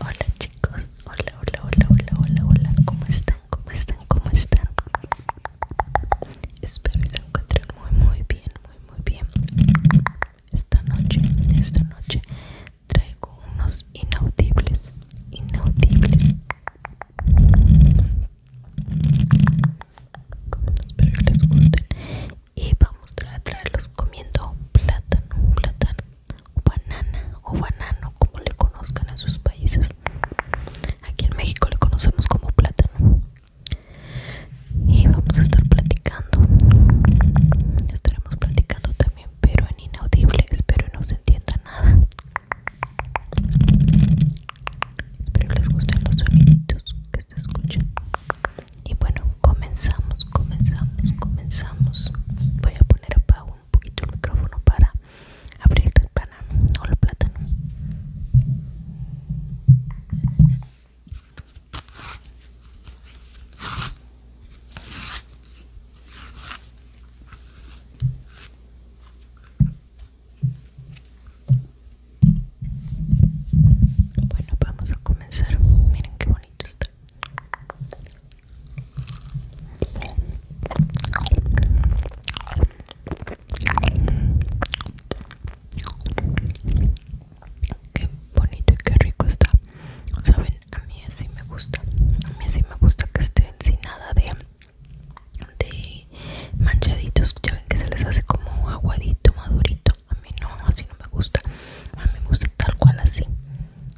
Hola chicos, hola, hola, hola, hola, hola, hola, ¿cómo están? ¿Cómo están? ¿Cómo están? Espero que se encuentren muy, muy bien, muy, muy bien. Esta noche, esta noche traigo unos inaudibles, inaudibles. Espero que les gusten. Y vamos a traerlos comiendo plátano, plátano, banana o banano como le conozcan en sus países aquí en México le conocemos como plátano y vamos a estar platicando estaremos platicando también pero en inaudible espero no se entienda nada espero les gusten los soniditos que se escuchan y bueno comenzamos comenzamos comenzamos voy a poner a pago un poquito el micrófono para abrir el plátano o el plátano bueno vamos a comenzar miren qué bonito está Qué bonito y qué rico está. Saben, a mí así me gusta. A mí así me gusta que esté sin nada de, de manchaditos. Ya ven que se les hace como aguadito, madurito. A mí no, así no me gusta. A mí me gusta tal cual así.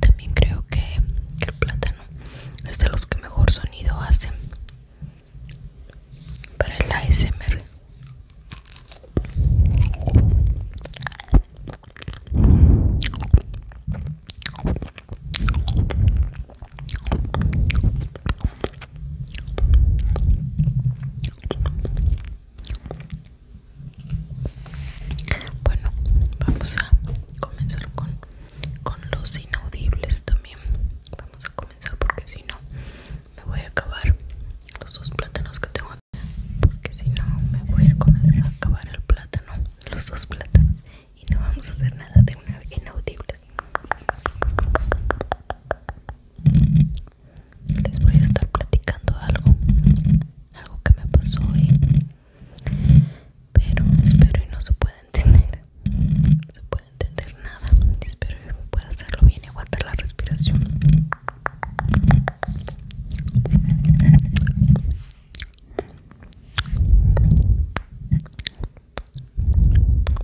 También creo que, el plátano es de los que mejor sonido hacen para el ASMR. Bueno, vamos a comenzar con, con los inaudibles también. Vamos a comenzar porque si no me voy a acabar los dos plátanos que tengo porque si no me voy a comer a acabar el plátano los dos plátanos y no vamos a hacer nada de una inaudible les voy a estar platicando algo algo que me pasó hoy pero espero y no se pueda entender no se puede entender nada espero que pueda hacerlo bien y aguantar la respiración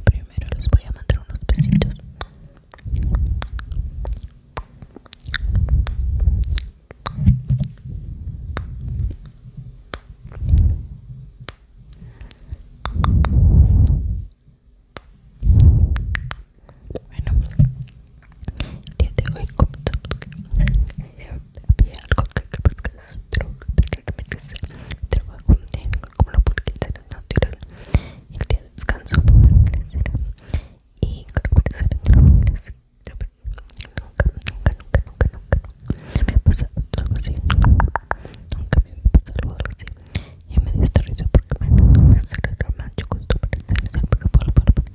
Primero les voy a mandar unos besitos. El día de hoy había algo que trabajo como la natural el día de descanso y nunca, nunca, nunca, nunca, nunca me ha pasado algo así nunca me ha pasado algo así y me dio porque me sale con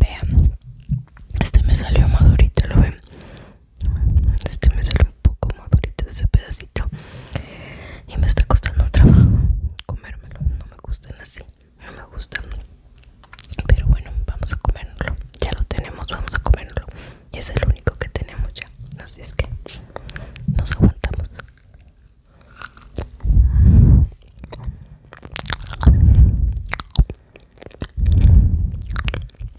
Vean, este me salió madurito, lo ven este me sale un poco madurito ese pedacito y me está costando trabajo comérmelo no me gustan así no me gustan pero bueno vamos a comérmelo ya lo tenemos vamos a comérmelo y es el único que tenemos ya así es que nos aguantamos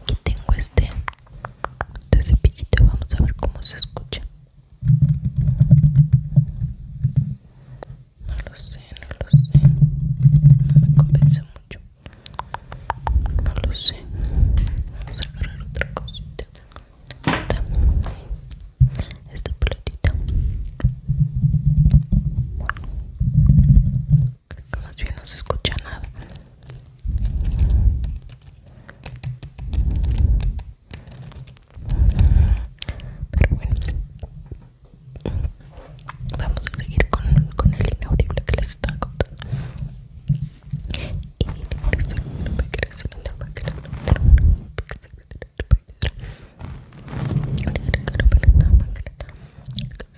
Aquí tengo este, este, cepillito, vamos a ver cómo se escucha. No lo sé, no lo sé. No me convence mucho. No lo sé. Vamos a agarrar otra cosita. Esta, esta pelotita. Creo que más bien no se escucha nada. Pero bueno, vamos a seguir con, el inaudible que les estaba contando.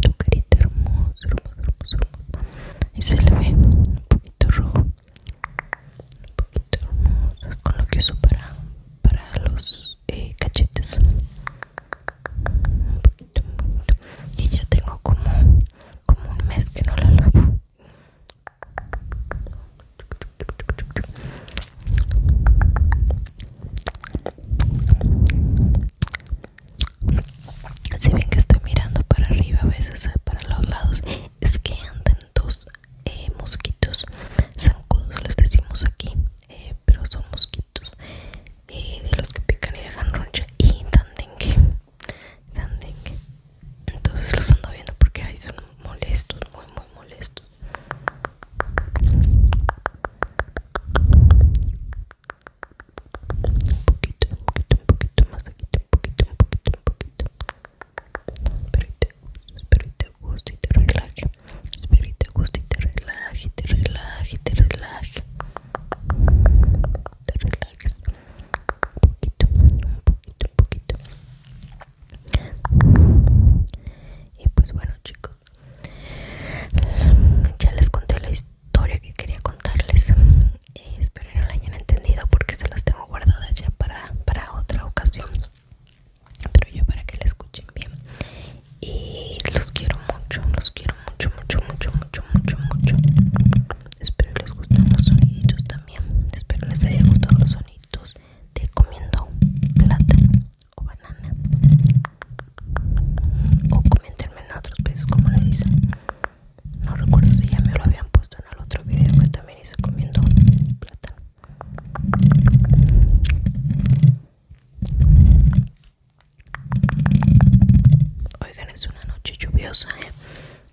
tu carita hermosa, hermosa, hermosa, hermosa. Y se le ve un poquito rojo, un poquito hermoso, con lo que uso para, para los eh, cachetes. Un poquito, un poquito. Y ya tengo como, como un mes que no la lavo. Si bien que estoy mirando para arriba, a veces eh, para los lados, es que andan dos eh, mosquitos zancudos, les decimos aquí, eh, pero son mosquitos de los que pican y dejan roncha y dan dengue, Entonces los ando viendo porque ahí son molestos, muy, muy molestos un poquito, un poquito, un poquito más aquí, un poquito, un poquito, un poquito. espérate, y te y te guste relaje. y te y te relaje, te relaje, te relaje. Te relajes. Un poquito, un poquito, un poquito. Y pues bueno chicos, ya les conté la historia historia que quería contarles. Eh, espero no la hayan entendido porque se las tengo guardadas ya para, otra ocasión. Pero yo para que la escuchen bien. Y los quiero mucho, los quiero mucho, mucho, mucho, mucho, mucho, mucho. Espero les gusten los soniditos también. Espero les hayan gustado los soniditos de comiendo plátano o banana. O coméntenme en otros países como le dicen no recuerdo si ya me lo habían puesto en el otro video que también hice comiendo plata oigan es una noche lluviosa ¿eh?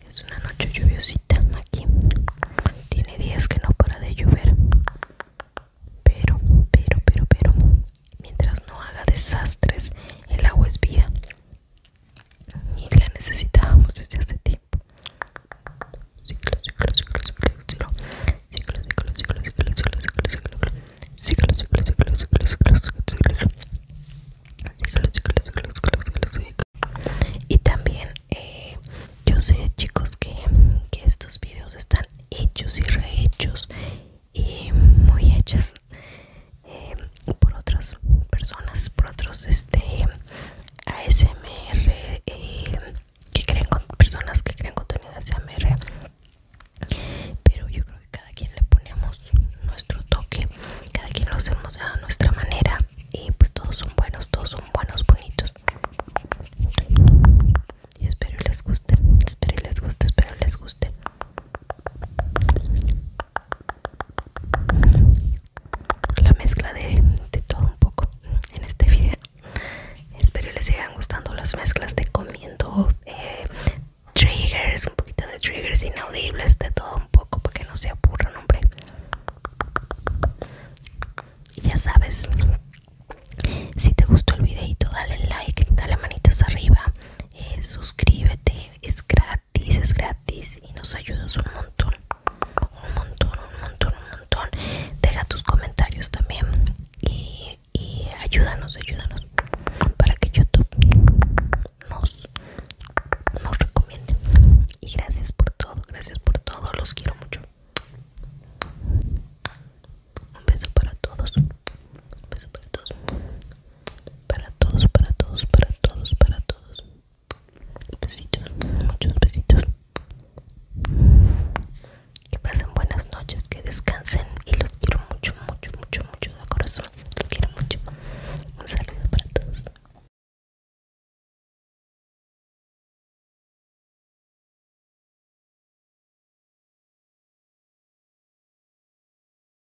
es una noche lluviosita aquí tiene días que no para de llover pero pero pero pero Mientras no haga desastres, el agua es vida. Y la necesitábamos desde hace tiempo. y también yo sé chicos que, que estos videos están hechos y rehechos y muy hechas eh, por otras personas, por otros este, ASMR eh, que personas que creen contenido ASMR. Pero yo creo que cada quien le ponemos nuestro toque, cada quien lo hacemos a nuestra manera y pues todos son buenos, todos son buenos, bonitos. Y espero les guste, espero les guste, espero les guste la mezcla de, todo un poco en este video espero les sigan gustando las mezclas de comiendo eh, triggers un poquito de triggers inaudibles de todo un poco para que no se aburran hombre y ya sabes si te gustó el videito dale like dale manitas arriba eh, suscríbete es Dices gratis y nos ayudas un montón, un montón, un montón, un montón. Deja tus comentarios también y, ayúdanos, ayúdanos para que YouTube nos, nos recomiende. Y gracias por todo, gracias por todo, los quiero mucho. Un beso para todos. Un beso para todos para todos, para todos, para todos, para todos. Besitos, muchos besitos. Que pasen buenas noches, que descansen y los quiero mucho, mucho, mucho, mucho de corazón. Los quiero mucho. Un saludo para todos.